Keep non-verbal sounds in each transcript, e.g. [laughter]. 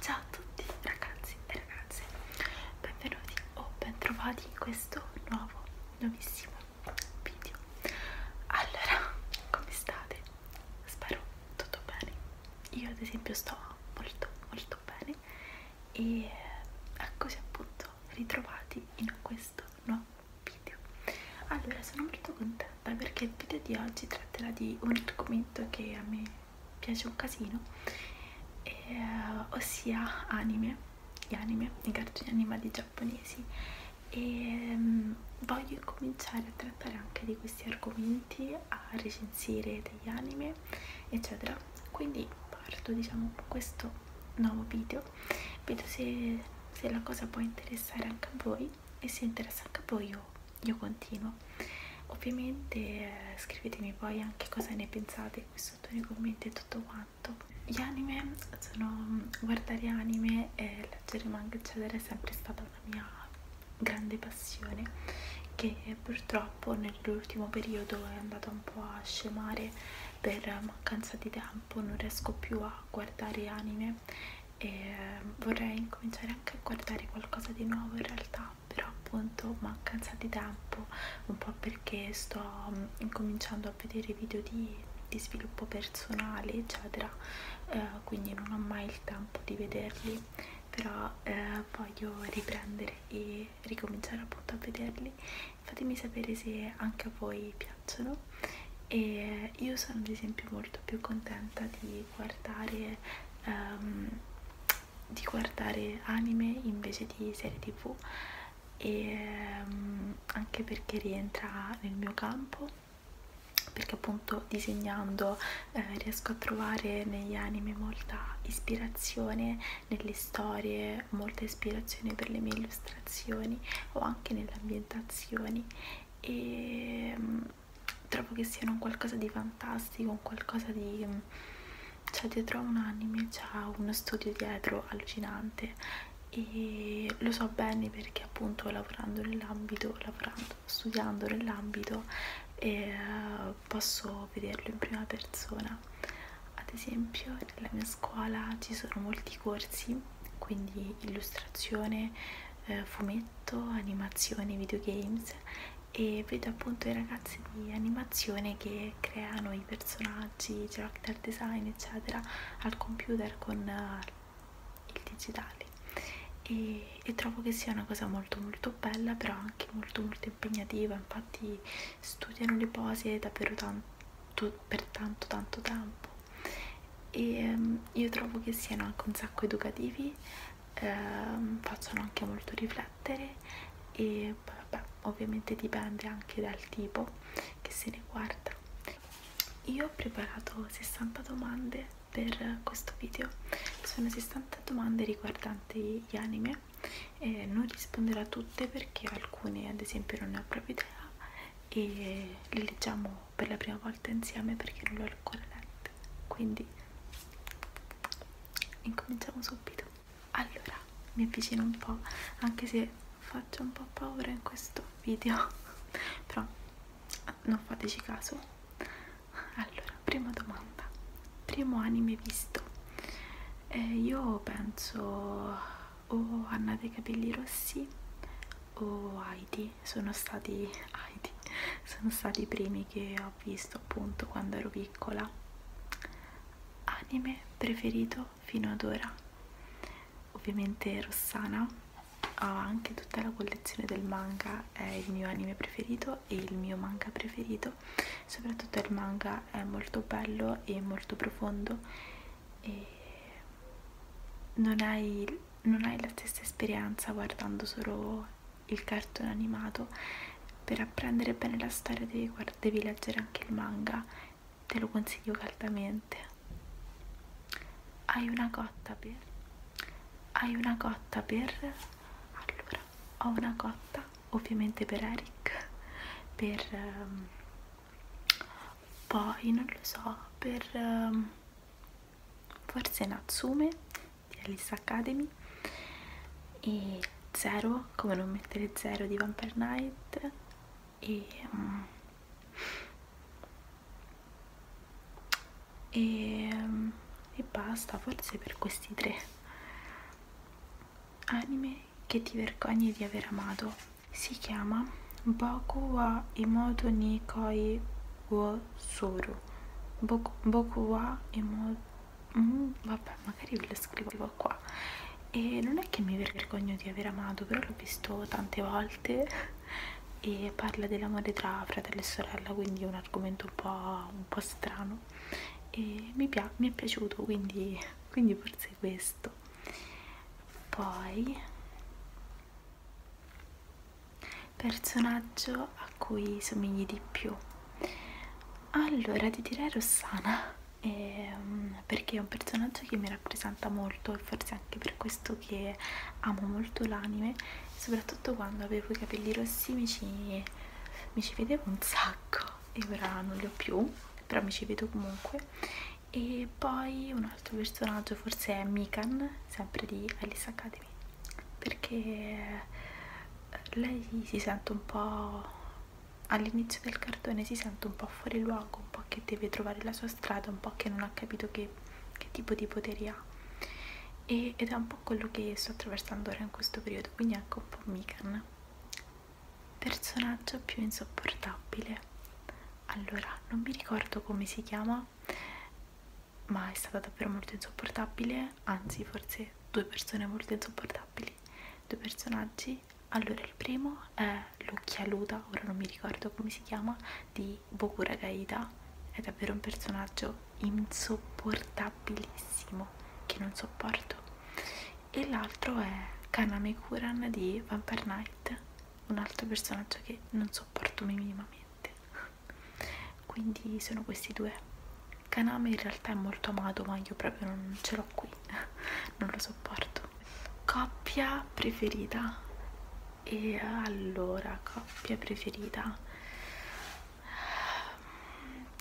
Ciao a tutti ragazzi e ragazze, benvenuti o bentrovati in questo nuovo, nuovissimo video. Allora, come state? Spero tutto bene. Io ad esempio sto molto molto bene e eh, così appunto ritrovati in questo nuovo video. Allora, sono molto contenta perché il video di oggi tratterà di un argomento che a me piace un casino, e, eh, ossia anime, gli anime, i cartoni animati giapponesi e um, voglio incominciare a trattare anche di questi argomenti, a recensire degli anime, eccetera. Quindi parto diciamo con questo nuovo video, vedo se, se la cosa può interessare anche a voi e se interessa anche a voi io io continuo ovviamente eh, scrivetemi poi anche cosa ne pensate qui sotto nei commenti e tutto quanto gli anime sono mm, guardare anime e leggere manga eccetera è sempre stata una mia grande passione che purtroppo nell'ultimo periodo è andata un po' a scemare per mancanza di tempo non riesco più a guardare anime e mm, vorrei incominciare anche a guardare qualcosa di nuovo in realtà fa però appunto mancanza di tempo un po' perché sto mm, incominciando a vedere video di, di sviluppo personale eccetera eh, quindi non ho mai il tempo di vederli però eh, voglio riprendere e ricominciare appunto a vederli fatemi sapere se anche a voi piacciono e io sono ad esempio molto più contenta di guardare um, di guardare anime invece di serie tv e um, anche perché rientra nel mio campo perché appunto disegnando eh, riesco a trovare negli anime molta ispirazione, nelle storie molta ispirazione per le mie illustrazioni o anche nelle ambientazioni e um, trovo che siano un qualcosa di fantastico, un qualcosa di... cioè dietro a un anime c'è uno studio dietro allucinante e lo so bene perché appunto lavorando nell'ambito, lavorando, studiando nell'ambito eh, posso vederlo in prima persona. Ad esempio nella mia scuola ci sono molti corsi, quindi illustrazione, eh, fumetto, animazione, videogames e vedo appunto i ragazzi di animazione che creano i personaggi, il character design eccetera al computer con uh, il digitale e, e trovo che sia una cosa molto molto bella però anche molto molto impegnativa infatti studiano le pose davvero tanto per tanto tanto tempo e um, io trovo che siano anche un sacco educativi eh, facciano anche molto riflettere e vabbè, ovviamente dipende anche dal tipo che se ne guarda io ho preparato 60 domande per questo video sono 60 domande riguardanti gli anime eh, non risponderò a tutte perché alcune ad esempio non ne ho proprio idea e le leggiamo per la prima volta insieme perché non l'ho ancora letta quindi incominciamo subito allora mi avvicino un po' anche se faccio un po' paura in questo video [laughs] però non fateci caso allora prima domanda primo anime visto eh, io penso o oh, Anna dei capelli rossi o oh, Heidi Heidi sono stati Heidi sono stati i primi che ho visto appunto quando ero piccola anime preferito fino ad ora ovviamente Rossana ho anche tutta la collezione del manga è il mio anime preferito e il mio manga preferito soprattutto il manga è molto bello e molto profondo e non hai, non hai la stessa esperienza guardando solo il cartone animato per apprendere bene la storia devi, devi leggere anche il manga te lo consiglio caldamente hai una cotta per hai una cotta per allora ho una cotta ovviamente per Eric per um, poi non lo so per um, forse Natsume di Alice Academy e Zero, come non mettere Zero di Vampire Night e, um, e, um, e basta, forse per questi tre anime che ti vergogni di aver amato si chiama Boku wa Imoto ni Koi Wo Soru Boku, boku wa emo, mm, vabbè magari ve lo scrivo qua e non è che mi vergogno di aver amato però l'ho visto tante volte e parla dell'amore tra fratello e sorella quindi è un argomento un po', un po strano e mi, pia mi è piaciuto quindi, quindi forse questo poi personaggio a cui somigli di più allora ti direi Rossana eh, perché è un personaggio che mi rappresenta molto e forse anche per questo che amo molto l'anime soprattutto quando avevo i capelli rossi mi ci, mi ci vedevo un sacco e ora non li ho più però mi ci vedo comunque e poi un altro personaggio forse è Mikan sempre di Alice Academy perdonatemi perché eh, lei si sente un po' all'inizio del cartone si sente un po' fuori luogo un po' che deve trovare la sua strada un po' che non ha capito che, che tipo di poteri ha e, ed è un po' quello che sto attraversando ora in questo periodo quindi anche ecco un po' Mikan personaggio più insopportabile allora non mi ricordo come si chiama ma è stata davvero molto insopportabile, anzi forse due persone molto insopportabili, due personaggi. Allora il primo è l'occhialuta, ora non mi ricordo come si chiama, di Bokura Gaida, è davvero un personaggio insopportabilissimo che non sopporto. E l'altro è Kaname Kuran di Vampire Knight, un altro personaggio che non sopporto minimamente quindi sono questi due Kaname in realtà è molto amato ma io proprio non ce l'ho qui [laughs] non lo sopporto coppia preferita e allora coppia preferita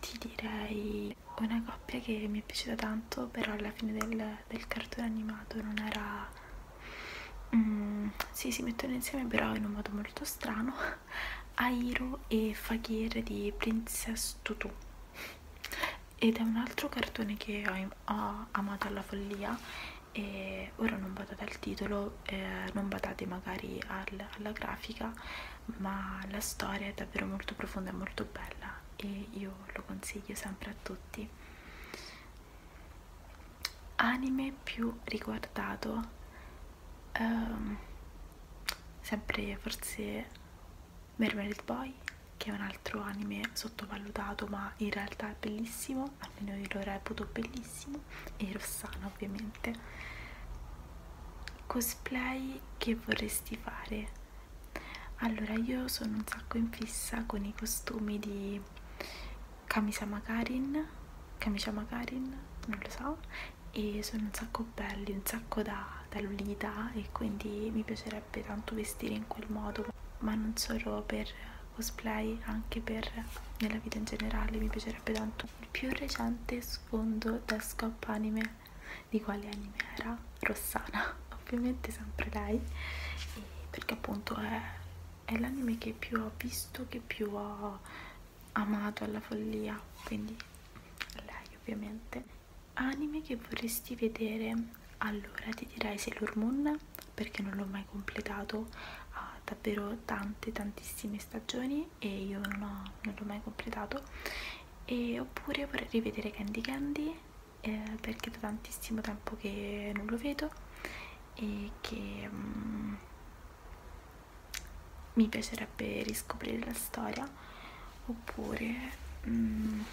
ti direi una coppia che mi è piaciuta tanto però alla fine del, del cartone animato non era mm, sì, si mettono insieme però in un modo molto strano [laughs] Airo e Fakir di Princess Tutu ed è un altro cartone che ho, ho amato alla follia e ora non badate al titolo eh, non badate magari al, alla grafica ma la storia è davvero molto profonda e molto bella e io lo consiglio sempre a tutti anime più riguardato um, sempre forse Mermaid Boy che è un altro anime sottovalutato ma in realtà è bellissimo almeno io lo reputo bellissimo e Rossana ovviamente cosplay che vorresti fare allora io sono un sacco in fissa con i costumi di Kamisa Magarin, Kamisha Magarin, non lo so, e sono un sacco belli, un sacco da, da Lolita e quindi mi piacerebbe tanto vestire in quel modo, ma non solo per cosplay, anche per nella vita in generale mi piacerebbe tanto. Il più recente sfondo da scop anime, di quale anime era? Rossana, [laughs] ovviamente sempre lei, perché appunto è è l'anime che più ho visto, che più ho amato alla follia, quindi lei ovviamente. Anime che vorresti vedere? Allora ti direi Sailor Moon, perché non l'ho mai completato, ha davvero tante tantissime stagioni e io non, non l'ho mai completato. E oppure vorrei rivedere Candy Candy eh, perché da tantissimo tempo che non lo vedo e che um, mi piacerebbe riscoprire la storia oppure um,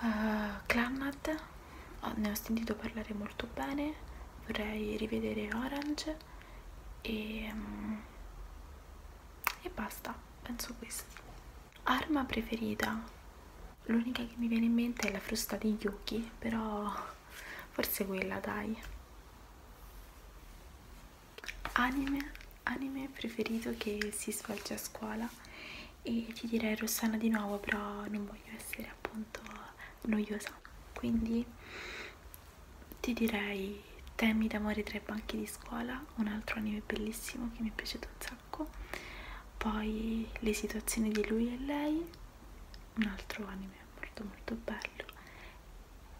uh, Clannad oh, ne ho sentito parlare molto bene vorrei rivedere Orange e, um, e basta penso questo arma preferita l'unica che mi viene in mente è la frusta di Yuki però forse quella dai anime anime preferito che si svolge a scuola e ti direi Rossana di nuovo però non voglio essere appunto noiosa quindi ti direi temi d'amore tra i banchi di scuola un altro anime bellissimo che mi è piaciuto un sacco sacco poi le situazioni di lui e lei un altro anime molto molto bello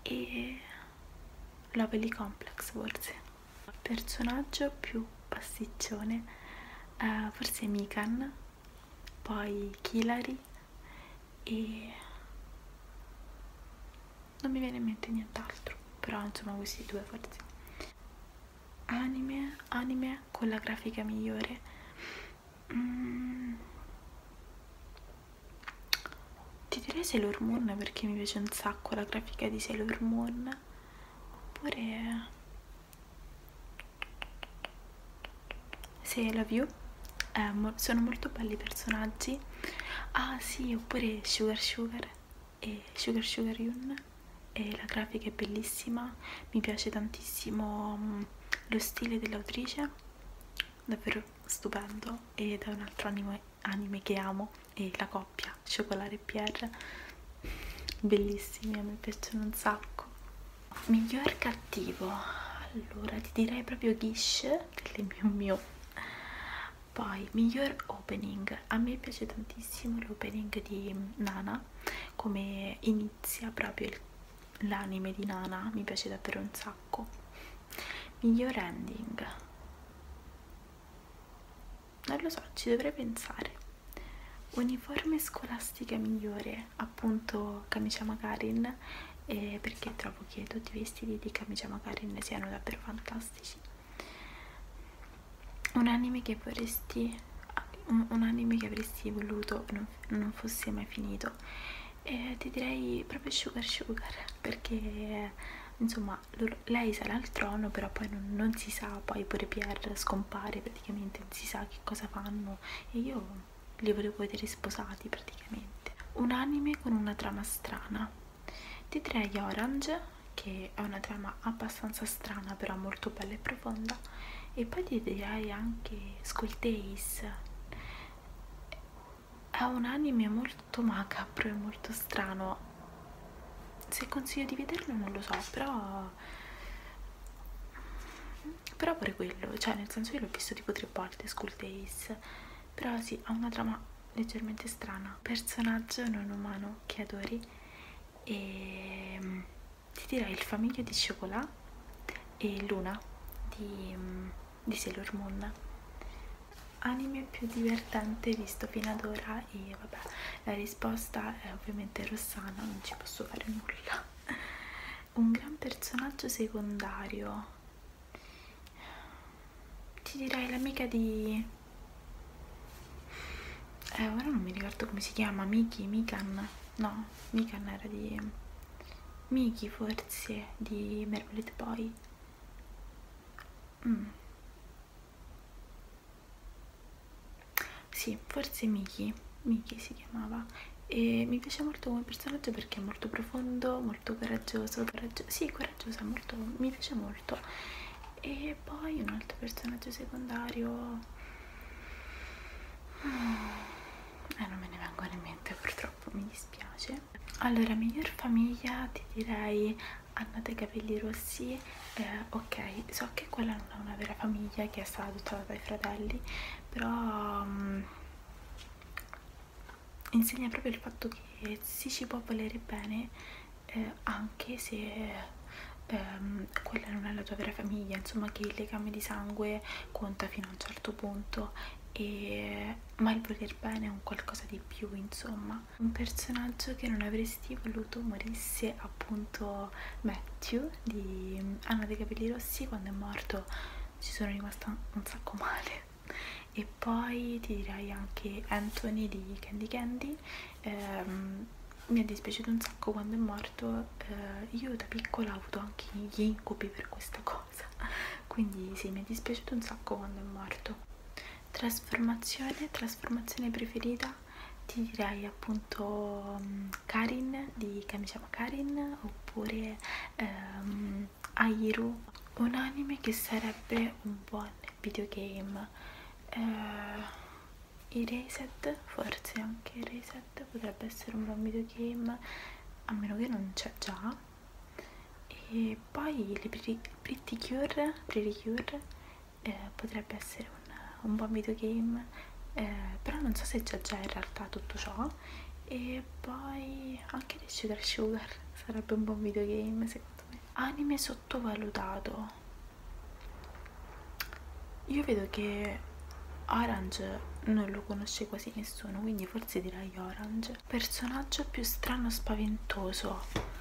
e Lovely Complex forse personaggio più pasticcione eh, forse Mikan poi Kilari e non mi viene in mente nient'altro però insomma questi due forse anime, anime con la grafica migliore mm. ti direi Sailor Moon perché mi piace un sacco la grafica di Sailor Moon oppure se la view eh, sono molto belli i personaggi ah sì oppure Sugar Sugar e Sugar Sugar Yun Skin e la grafica è bellissima, mi piace tantissimo mm, lo stile dell'autrice, davvero stupendo ed è un altro anime, anime che amo e la coppia Cioccolare e Pierre, bellissimi, a me piacciono un sacco. Miglior cattivo, allora ti direi proprio Gish del mio mio. Poi, miglior opening, a me piace tantissimo l'opening di Nana come inizia proprio l'anime di Nana, mi piace davvero un sacco. Miglior ending. Non lo so, ci dovrei pensare. Uniforme scolastica migliore, appunto camicia Magarin, eh, perché trovo che tutti i vestiti di camicia Magarin siano davvero fantastici un anime che vorresti un, un anime che avresti voluto non, non fosse mai finito e ti direi proprio Sugar Sugar perché insomma loro, lei sarà al trono però poi non, non si sa poi pure Pierre scompare praticamente non si sa che cosa fanno e io li volevo vedere sposati praticamente un anime con una trama strana ti direi Orange che che è una trama abbastanza strana però molto bella e profonda e poi ti direi anche School Days è un anime molto macabro e molto strano se consiglio di vederlo non lo so però però pure quello cioè nel senso io l'ho visto tipo tre volte School Days però sì ha una trama leggermente strana personaggio non umano che adori e ehm, ti direi il famiglio di Cicolà e Luna di, mm, di Sailor Moon anime più divertente visto fino ad ora e vabbè la risposta è ovviamente Rossana non ci posso fare nulla [laughs] un gran personaggio secondario ti direi l'amica di eh ora non mi ricordo come si chiama Miki, Mikan no, Mikan era di Miki forse di Mermaid Boy mm. sì, forse Miki Miki si chiamava e mi piace molto come personaggio perché è molto profondo, molto coraggioso, coraggio sì, coraggiosa, molto, mi piace molto e poi un altro personaggio secondario ah, eh, non me ne vengono in mente purtroppo mi dispiace allora miglior famiglia ti direi hanno dei capelli rossi eh, ok so che quella non è una vera famiglia che è stata adottata dai fratelli però um, insegna proprio il fatto che si ci può volere bene eh, anche se ehm, quella non è la tua vera famiglia, insomma che il legame di sangue conta fino a un certo punto, e, ma il voler bene è un qualcosa di più, insomma. Un personaggio che non avresti voluto morisse appunto Matthew di mm, Anna dei capelli rossi quando è morto ci sono rimasta un sacco male e poi ti direi anche Anthony di Candy Candy ehm, mi è dispiaciuto un sacco quando è morto eh, io da piccola ho avuto anche gli incubi per questa cosa [laughs] quindi sì mi è dispiaciuto un sacco quando è morto trasformazione trasformazione preferita ti direi appunto mm, Karin di Kamishama Karin oppure ehm, Airu un anime che sarebbe un buon videogame eh, i reset forse anche i reset potrebbe essere un buon videogame a meno che non c'è già e poi le pretty cure, pretty cure eh, potrebbe essere un, un buon videogame eh, però non so se c'è già in realtà tutto ciò e poi anche The Sugar Sugar sarebbe un buon videogame secondo me anime sottovalutato io vedo che Orange non lo conosce quasi nessuno, quindi forse direi Orange. Personaggio più strano spaventoso.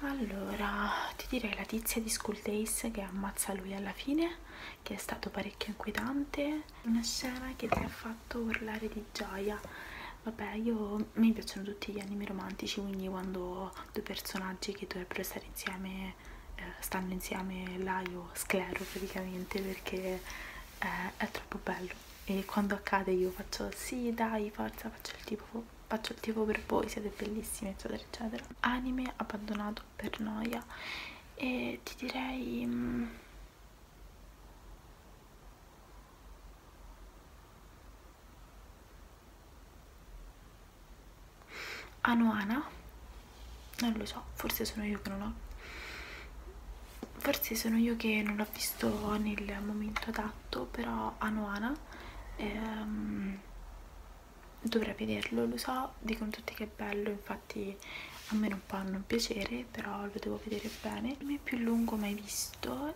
Allora, ti direi la tizia di School Days che ammazza lui alla fine, che è stato parecchio inquietante. Una scena che ti ha fatto urlare di gioia. Vabbè, io mi piacciono tutti gli anime romantici, quindi quando due personaggi che dovrebbero stare insieme, eh, stanno insieme là io sclero praticamente perché eh, è troppo bello e quando accade io faccio sì dai forza faccio il tipo faccio il tipo per voi siete bellissimi eccetera eccetera anime abbandonato per noia e ti direi mh, mm, Anoana, non lo so, forse sono io che non ho forse sono io che non l'ho visto nel momento adatto però Anoana ehm, dovrei vederlo lo so dicono tutti che è bello infatti a me non può non piacere però lo devo vedere bene il è più lungo mai visto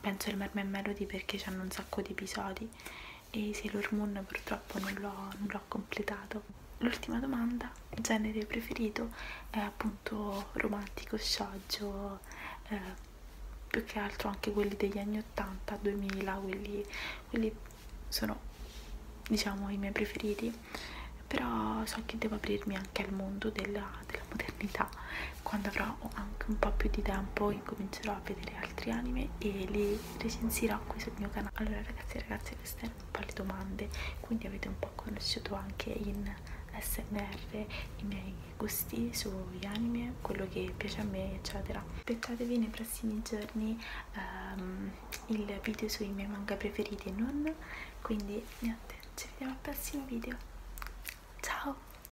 penso il Mermaid Melody perché hanno un sacco di episodi e Sailor Moon purtroppo non l'ho completato l'ultima domanda genere preferito è appunto romantico, scioggio eh, più che altro anche quelli degli anni 80, 2000 quelli, quelli sono diciamo i miei preferiti però so che devo aprirmi anche al mondo della, della modernità quando avrò anche un po' più di tempo incomincerò a vedere altri anime e li recensirò qui sul mio canale allora ragazzi e ragazze queste erano un po' le domande quindi avete un po' conosciuto anche in smr i miei gusti sugli anime quello che piace a me eccetera aspettatevi nei prossimi giorni um, il video sui miei manga preferiti e non quindi niente ci vediamo al prossimo video ciao